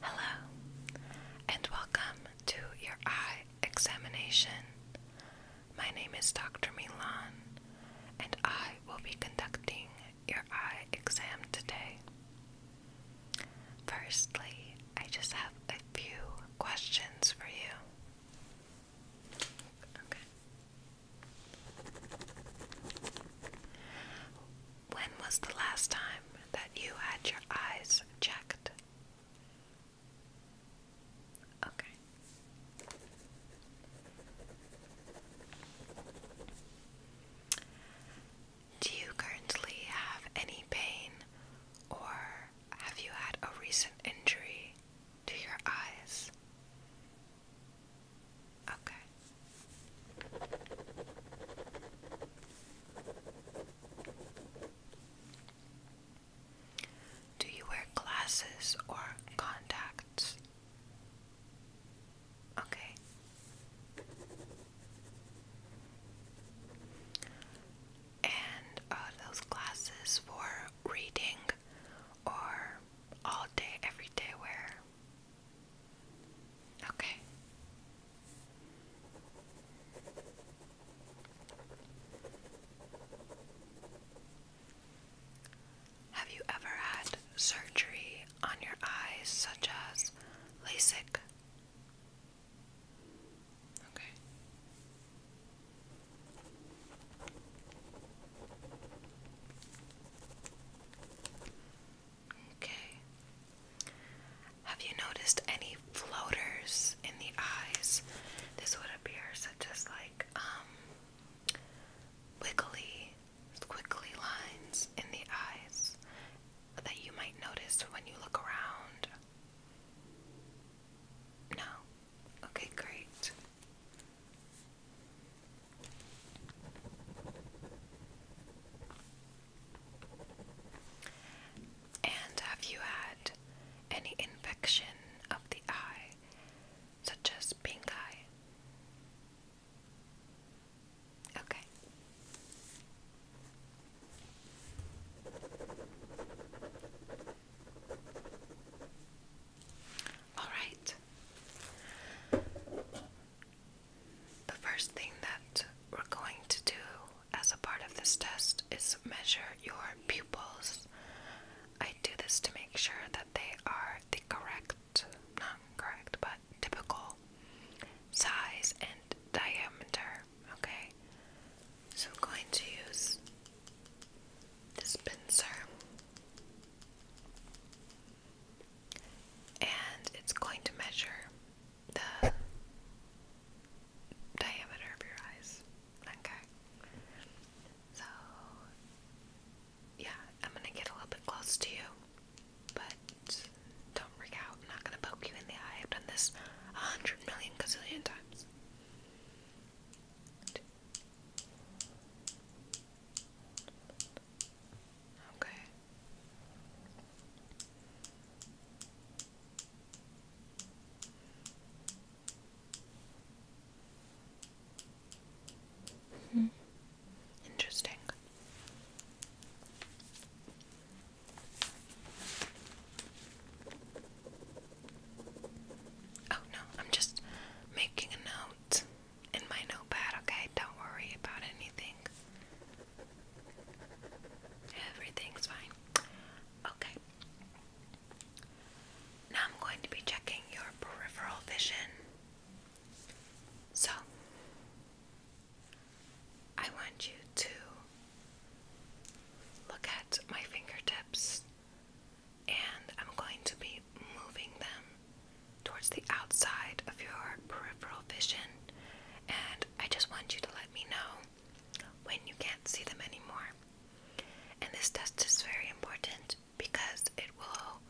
Hello, and welcome to your eye examination. My name is Dr. Milan, and I will be conducting your eye exam today. Firstly, I just have a few questions for you. Okay. When was the last time that you had your eyes checked? Okay. Do you currently have any pain or have you had a recent injury to your eyes? Okay. Do you wear glasses or contacts? Okay. And are those glasses for reading or all day, every day wear? Okay. Have you ever had surgery on your eyes, such as LASIK? Okay. Okay. Have you noticed any floaters in the eyes? This would appear such as like um wiggly, squiggly lines in the eyes that you might notice when you look around. No. Okay, great. And have you had any infection of the eye, such as pink eye? Okay. Alright. The first thing that we're going to do as a part of this test is measure your pupils. I do this to make sure that they are the correct, not correct, but typical size and diameter. Okay? So I'm going to use this pincer and it's going to measure the diameter of your eyes. Okay. So, yeah, I'm gonna get a little bit close to you, but don't freak out. I'm not gonna poke you in the eye. I've done this a hundred million gazillion times. Okay. Hmm. Interesting. Oh no, I'm just making a note in my notepad, okay? Don't worry about anything. Everything's fine. Okay. Now I'm going to be checking your peripheral vision. So, I want you to look at my fingertips and I'm going to be moving them towards the outside of your peripheral vision. And I just want you to let me know when you can't see them anymore. And this test is very important because it will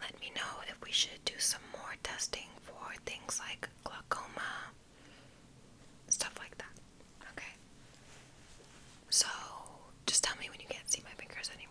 let me know if we should do some more testing for things like glaucoma, stuff like that. Okay? So, just tell me when you can't see my fingers anymore.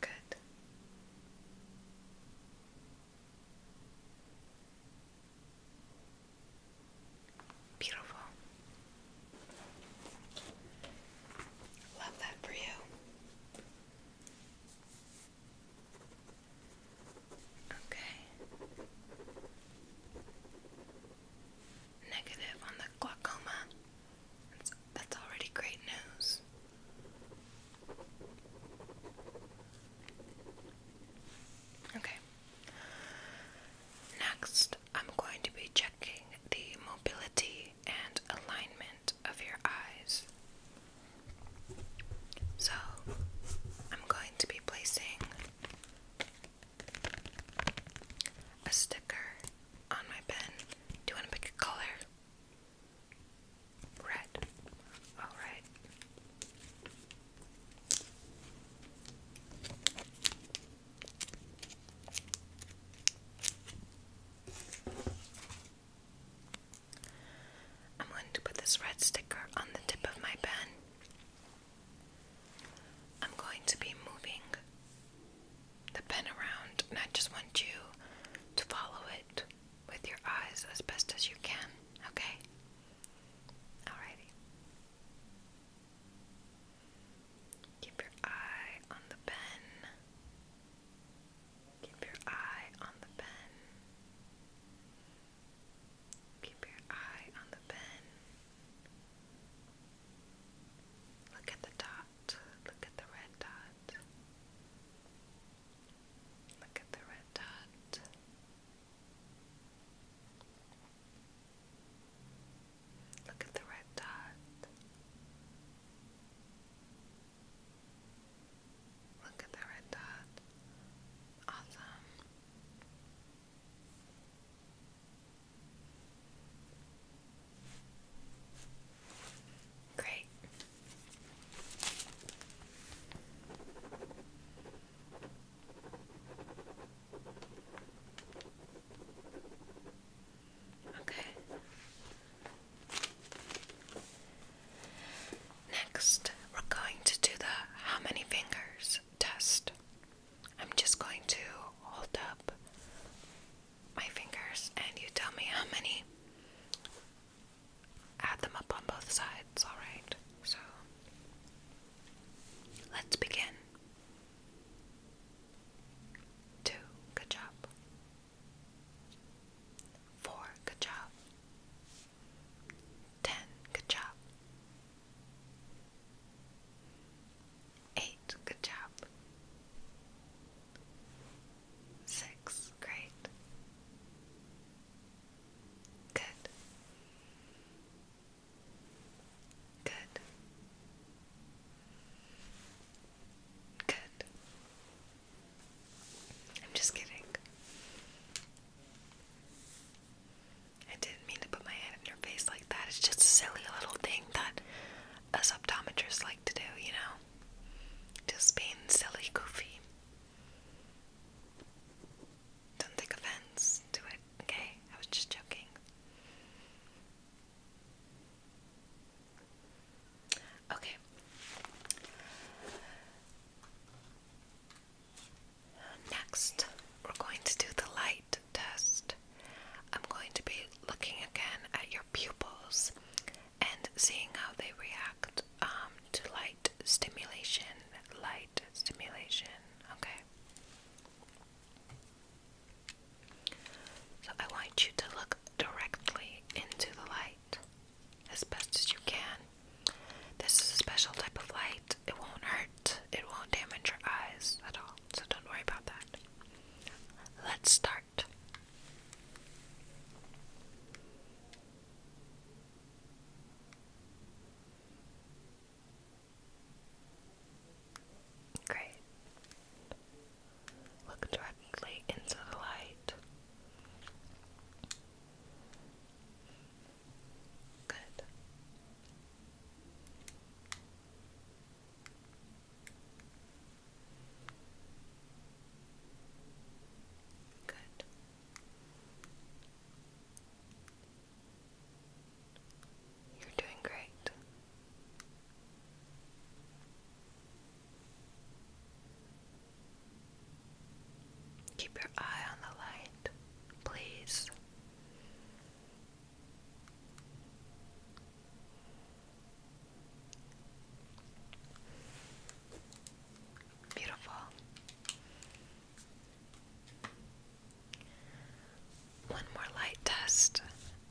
Good. Beautiful. Love that for you. Okay. Negative on the glaucoma. That's, that's already great news. Okay. Next, I'm going to be checking the mobility and alignment of your eyes. So, I'm going to be placing a sticker on my pen. Do you want to pick a color? Red. Alright. I'm going to put this red sticker on the tip of my pen. I'm going to be moving the pen around, and I just want you to follow it with your eyes as best as you can, okay? Alrighty. Keep your eye on the pen. Keep your eye on the pen. Keep your eye on the pen. Look at the dot. Look at the red dot. Look at the red dot. Look at the red dot. Look at the red dot. Awesome. Great. Okay. Next, we're going to do the how many fingers test. I'm just going to hold up my fingers and you tell me how many. Add them up on both sides, alright? So, let's begin. Two, good job. Four, good job. Ten, good job. Eight, good job. Six, great. Good. Good. Good. I'm just kidding. I didn't mean to put my hand in your face like that. It's just a silly little thing that as optometrists like to do, you know? Just being silly, goofy. Don't take offense to it, okay? I was just joking. Okay. Next, we're going to do the light test, I'm going to be looking again at your pupils and seeing how they react um, to light stimulation. Light stimulation, okay? So I want you to look directly into the light as best as you can. This is a special type of light. It won't hurt. It won't damage your eyes at all. So don't worry about that. Let's start. Great. Look directly into the light. Good. Good. You're doing great. Keep your eye on the light, please. Beautiful. One more light test.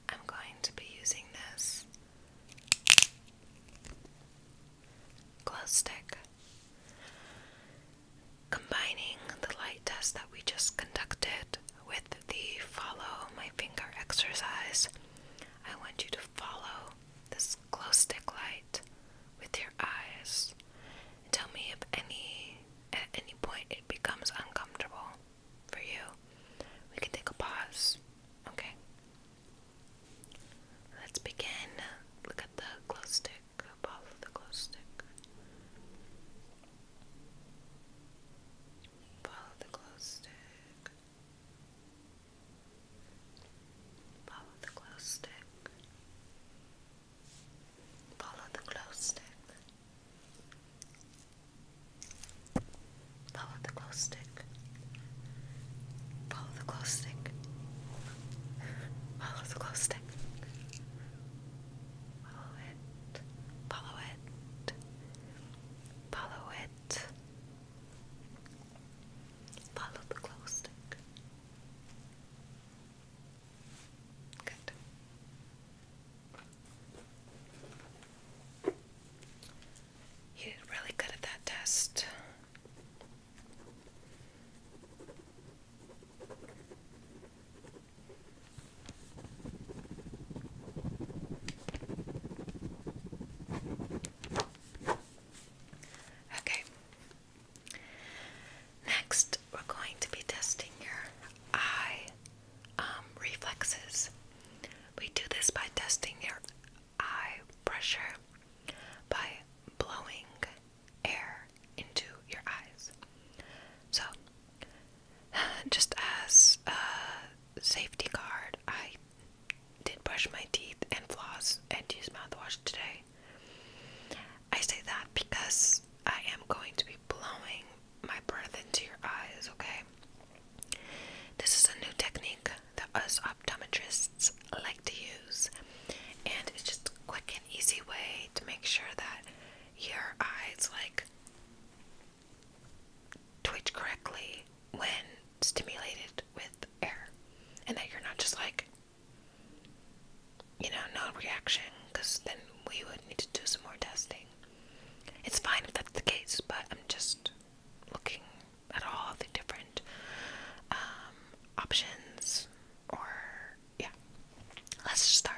I'm going to be using this glow stick. Combining the light test that we just conducted with the follow my finger exercise. I want you to follow this glow stick light with your eyes. And tell me if any at any point it becomes uncomfortable for you. We can take a pause. Okay. Let's begin. Look at the glow stick. Follow the glow stick. Follow the glow stick. Follow the glow stick. Follow the glow stick. Follow the glow stick. Follow the glow stick. Follow the glow stick. Follow it. Follow it. Follow it. Follow the glow stick. Good. You did really good at that test. Okay. Next, we're going to be testing your eye um, reflexes. We do this by testing your eye pressure by blowing air into your eyes. So, just as a safety card, I did brush my teeth and floss and use mouthwash today. I say that because I am going to be blowing my breath into your eyes, okay? This is a new technique that us optometrists like to use, and it's just a quick and easy way to make sure that your eyes, like, twitch correctly when stimulated with air, and that you're not just like, you know, no reaction, because then we would need to do some more testing. It's fine if that's the case, but I'm just looking at all the different um, options, or yeah, let's start.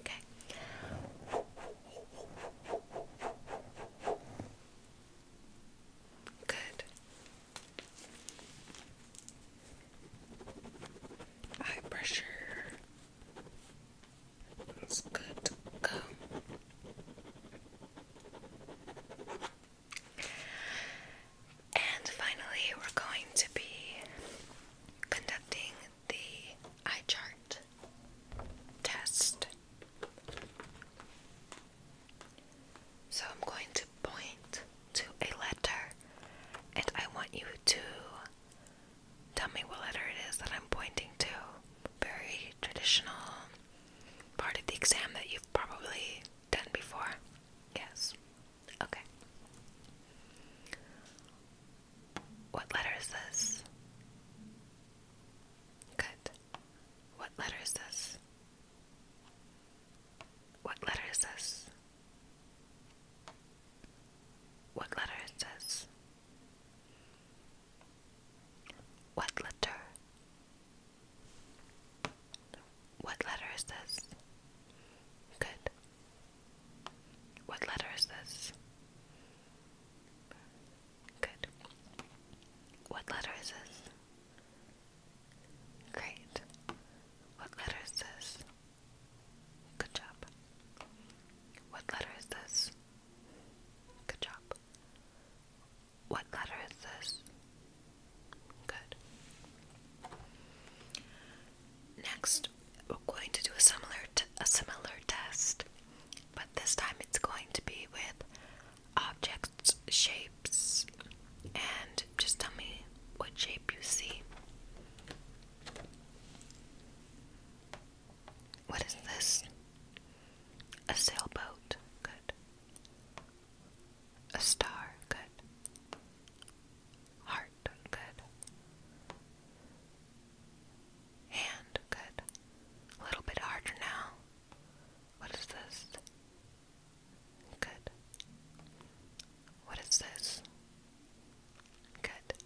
Okay. Good. Eye pressure is good to go. And finally, we're going to be conducting the eye chart test. So I'm going to point to a letter and I want you to tell me what letter it is that I'm pointing to. Very traditional part of the exam that you've probably done before. Yes. Okay. What letter is this? Good. What letter is this? What letter is this? What letter is this? What letter? What letter is this? Good. What letter is this? Good. What letter is this? Great. What letter is this? Good job. What letter is this? Good job. What letter is this? Good. Next, we're going to do a similar t a similar test, but this time it's going to be with objects, shapes, and just tell me what shape you see. What is this? A sailboat. Good. A star. Good. Heart good. Hand, good. A little bit harder now. What is this? Good. What is this? Good.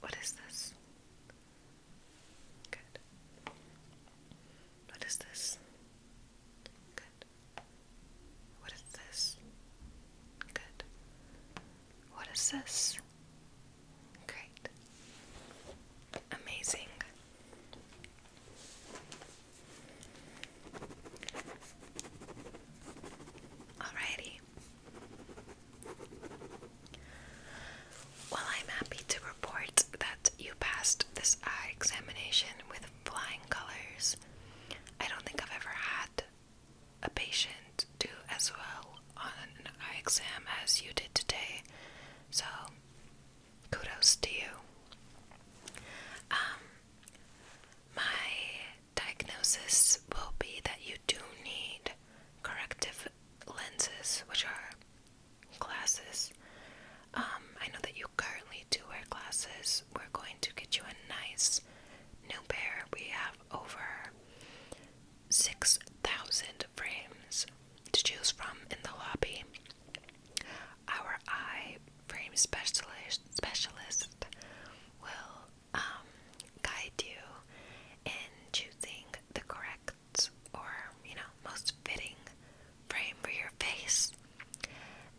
What is this? Good. What is this? Good. What is this? Good. What is this? Great. Amazing. Alrighty. Well, I'm happy to report that you passed this examination with flying colors. I don't think I've ever had a patient do as well on an eye exam as you did today. So, kudos to you. Um, my diagnosis will be that you do need corrective lenses, which are glasses. Um, I know that you currently do wear glasses. We're going to get you a nice New Bear, we have over 6,000 frames to choose from in the lobby. Our eye frame specialist, specialist will um, guide you in choosing the correct or, you know, most fitting frame for your face.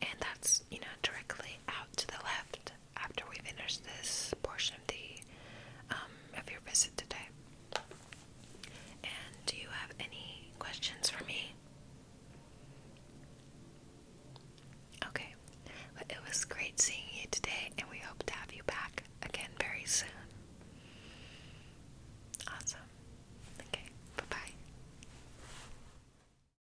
And that's, you know, directly out to the left after we finish this portion of the um, of your visit today. And do you have any questions for me? Okay. but it was great seeing you today, and we hope to have you back again very soon. Awesome. Okay. Bye bye.